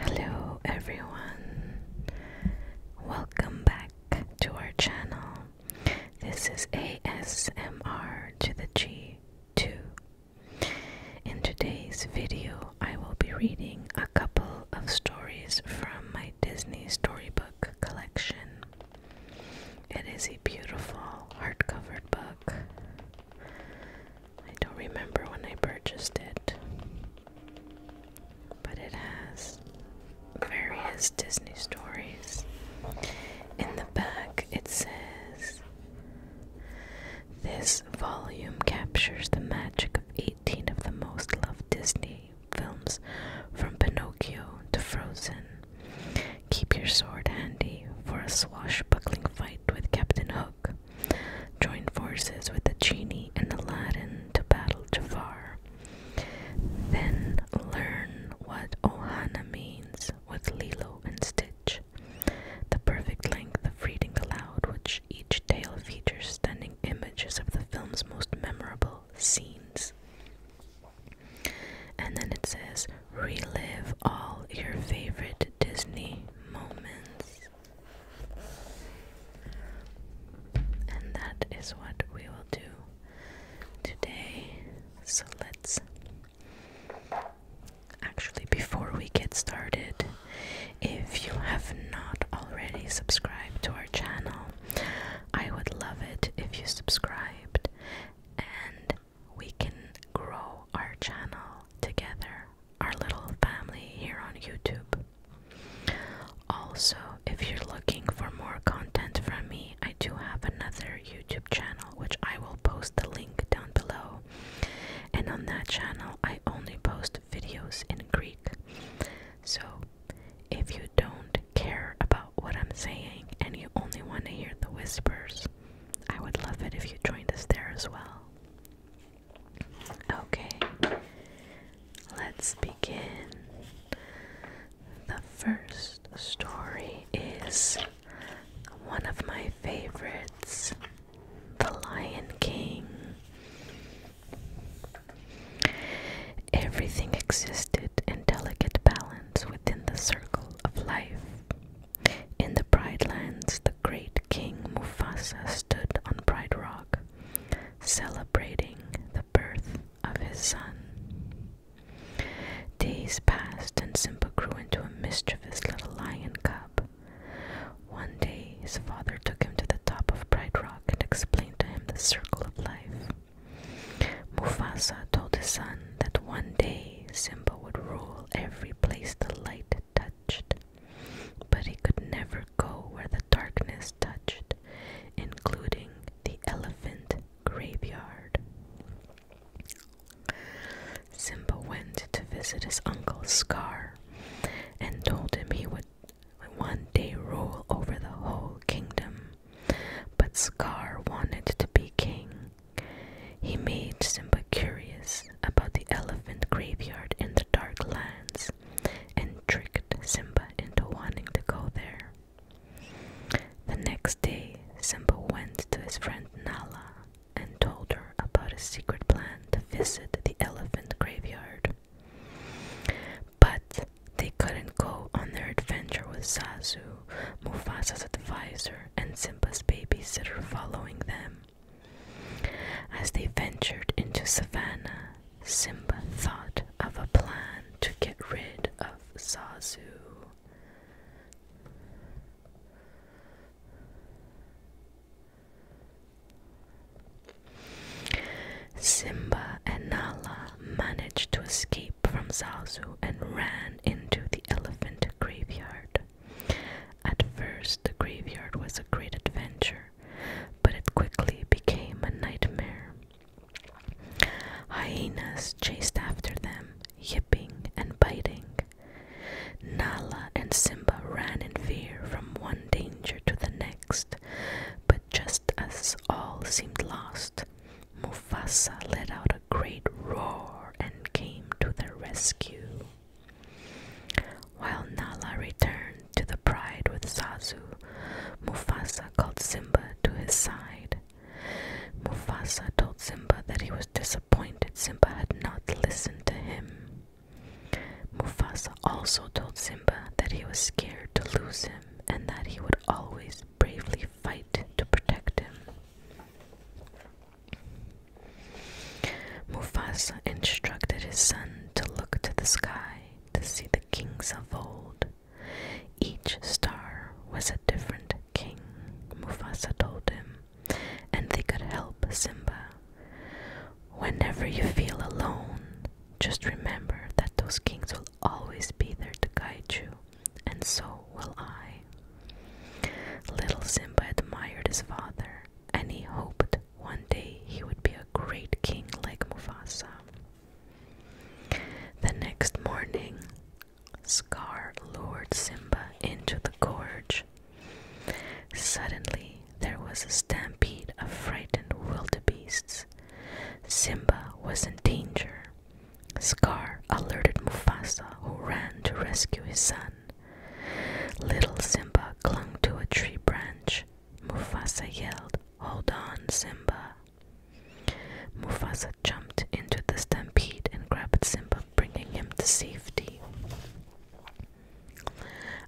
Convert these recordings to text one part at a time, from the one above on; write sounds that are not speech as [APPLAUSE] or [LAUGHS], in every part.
Hello everyone. Welcome back to our channel. This is ASMR to the G2. In today's video, I will be reading a couple of stories from my Disney storybook collection. It is a beautiful hardcover book. I don't remember when I purchased it, but it has various Disney stories. In the back, it says this volume captures the magic of 18 of the most loved Disney films from Pinocchio to Frozen. Keep your sword handy for a swashbuckling fight with Captain Hook. Join forces with the genie and Aladdin to battle Jafar. Then learn what Ohana means with Lilo and Stitch. The perfect length of reading aloud, which each tale features stunning images of the film's most memorable scenes. And then it says, relive all your favorite Disney moments. And that is what we will do today. So let's. Actually, before we get started, if you have not already subscribed to our channel, I would love it if you subscribed and we can grow our channel together, our little family here on YouTube. Also, if you're looking for more content from me, I do have another YouTube channel which I will post the link down below. And on that channel, I only post videos in Greek. So if you don't care about what I'm saying and you only want to hear the whispers, I would love it if you joined us there as well. Okay, let's begin. The first story is one of my favorites The Lion King. Everything existed in delicate balance within the circle of life. In the Pride Lands, the great King Mufasa stood on Pride Rock, celebrating the birth of his son. Days passed and Simba grew into a mischievous little lion cub. One day, his father took him to the top of Pride Rock and explained to him the circle of life. Mufasa told his son that one day Simba would rule every place the light touched, but he could never go where the darkness touched, including the elephant graveyard. Simba went to visit his uncle Scar and told him he would one day rule over the whole kingdom. But Scar wanted to be king. He made Simba curious about the elephant graveyard in the Dark Lands and tricked Simba into wanting to go there. The next day, Simba went to his friend Nala and told her about his secret plan to visit the elephant graveyard. But they couldn't go on their adventure with Sasu, Mufasa's advisor, and Simba's babysitter following them. As they ventured into Savannah, Simba thought of a plan to get rid of Sasu. Simba and Nala managed to escape from Zazu and ran into the elephant graveyard. At first, the graveyard was a great adventure, but it quickly became a nightmare. Hyenas chased after them, yipping and biting. Nala and Simba ran in fear from one danger to the next, but just as all seemed lost, Mufasa let out a great roar and came to their rescue. While Nala returned to the pride with Sazu, Mufasa called Simba to his side. Mufasa told Simba that he was disappointed Simba had not listened to him. Mufasa also told Simba that he was scared to lose him and that he would always bravely fight to protect him. Mufasa instructed his son to look to the sky to see the kings of old. Each star was a different king, Mufasa told him, and they could help Simba. Whenever you feel alone, just remember that those kings will always be there to guide you, and so will I. Little Simba admired his father, and he hoped one day he would be a great king like Mufasa. The next morning, Scar lured Simba into the gorge. Suddenly, there was a stampede of frightened wildebeests. Simba was in danger. Scar alerted Mufasa, who ran to rescue his son. Little Simba clung to a tree branch. Mufasa yelled, Hold on, Simba. Mufasa jumped into the stampede and grabbed Simba, bringing him to safety.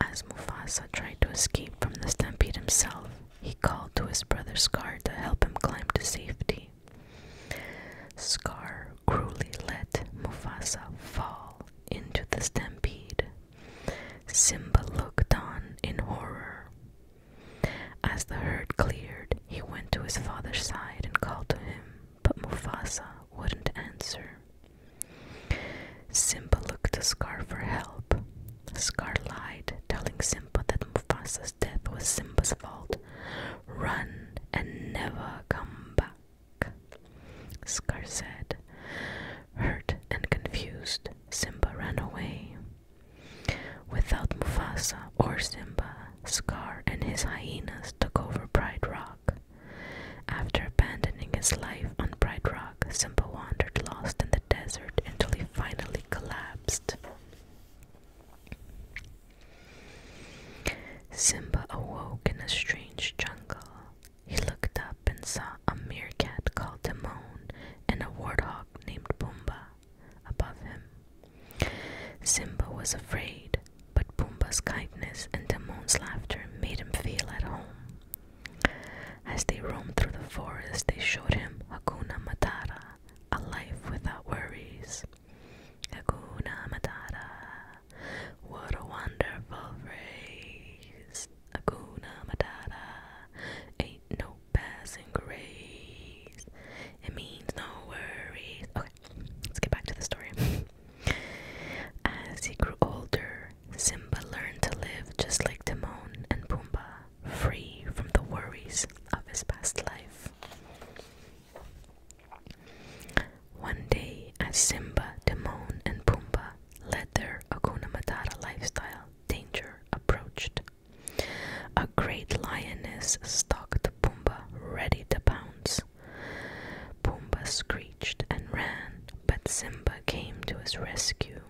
As Mufasa tried to escape from the stampede himself, he called to his brother Scar to help him climb to safety. Scar cruelly let Mufasa fall into the stampede. Simba looked on in horror. As the herd cleared, he went to his father's side and called to him, but Mufasa wouldn't answer. Simba looked to Scar for help. Scar lied, telling Simba that Mufasa death was Simba's fault. Run and never come back. Scar said. Hurt and confused, Simba ran away. Without Mufasa or Simba, Scar and his hyenas took over Pride Rock. After abandoning his life on Pride Rock, Simba wandered lost in the desert until he finally collapsed. Simba awoke in a strange jungle. He looked up and saw a meerkat called Timon and a warthog named Pumbaa above him. Simba was afraid, but Pumbaa's kindness and Timon's laughter made him feel at home. As they roamed through the forest, they showed him Hakuna Matata, a life without worries. Hakuna Matata. What a wonderful phrase. Hakuna Matata. Ain't no passing grace. It means no worries. Okay, let's get back to the story. [LAUGHS] As he grew older, Simba learned to live just like Timon and Pumbaa free from the worries of his past life. One day, as Simba, Timon, and Pumbaa led their Hakuna Matata lifestyle, danger approached. A great lioness stalked Pumbaa, ready to pounce. Pumbaa screeched and ran, but Simba came to his rescue.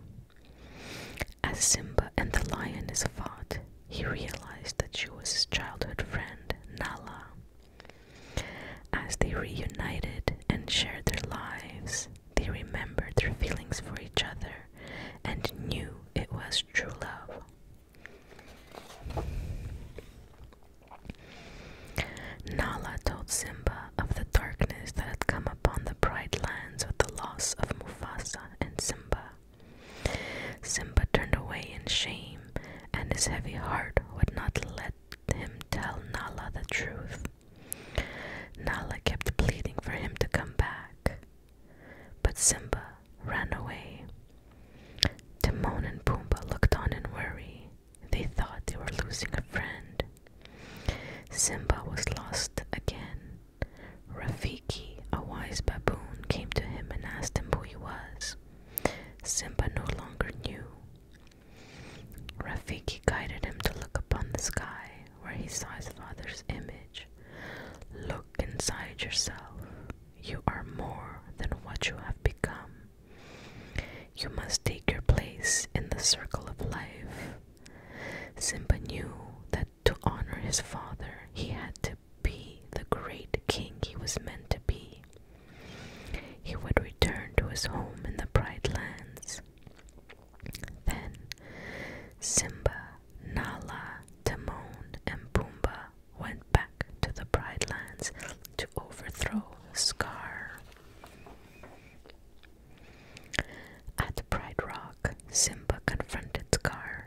As Simba and the lioness fought, he realized that she was his childhood friend, Nala. As they reunited and shared their lives, they remembered their feelings for each other and knew it was true love. Nala told Simba of the darkness that had come upon the bright lands with the loss of Mufasa and Simba. Simba turned away in shame, and his heavy heart would not let him tell Nala the truth. Nala kept pleading for him to come back, but Simba ran away. Timon and Pumbaa looked on in worry. They thought they were losing a friend. Simba was lost again. Rafiki, a wise baboon, came to him and asked him who he was. Simba no longer knew. Rafiki guided him to look upon the sky, where he saw his father's image. Look inside yourself. You are more than what you have become. You must take your place in the circle of life. Simba knew that to honor his father, he had to be the great king he was meant to be. He would return to his home in the Bright Lands. Then Simba, Nala, Timon, and Pumbaa went back to the Bright Lands to overthrow Scar. At Bright Rock, Simba confronted Scar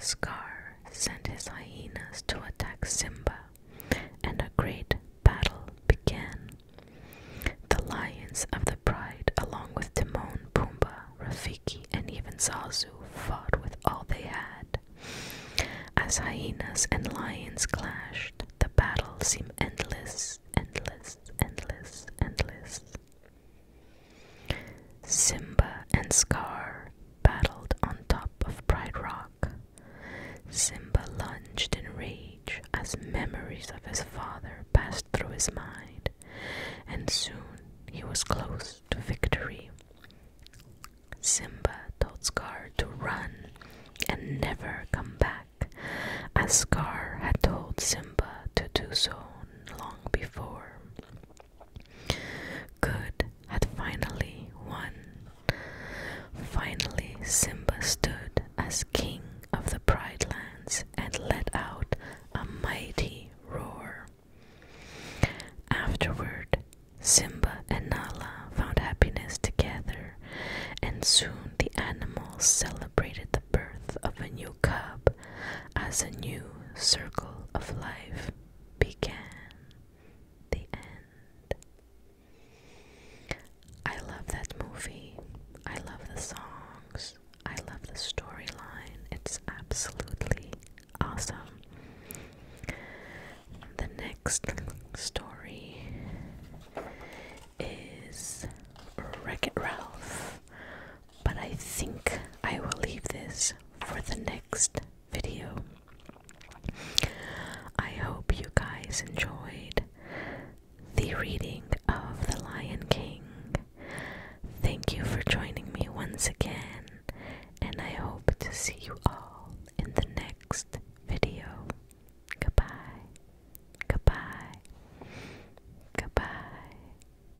Scar sent his hyenas to attack Simba, and a great battle began. The lions of the pride, along with Timon, Pumbaa, Rafiki, and even Zazu, fought with all they had. As hyenas and lions clashed, the battle seemed endless, endless, endless, endless. Simba and Scar battled on top of Pride Rock. Simba lunged in rage as memories of his father passed through his mind, and soon he was close to victory. Simba told Scar to run and never come back, as Scar had told Simba to do so long before. Good had finally won. Finally, Simba stood as king of the Pride Lands and let out a mighty roar. Afterward, Simba and Nala found happiness together, and soon the animals celebrated the birth of a new cub as a new circle of life began. The end. I love that movie. I love the songs. I love the storyline. It's absolutely awesome. The next story is Wreck It Ralph but I think I will leave this for the next video. I hope you guys enjoyed the reading of The Lion King. Thank you for joining me once again, and I hope to see you all in the next video. Goodbye. Goodbye. Goodbye.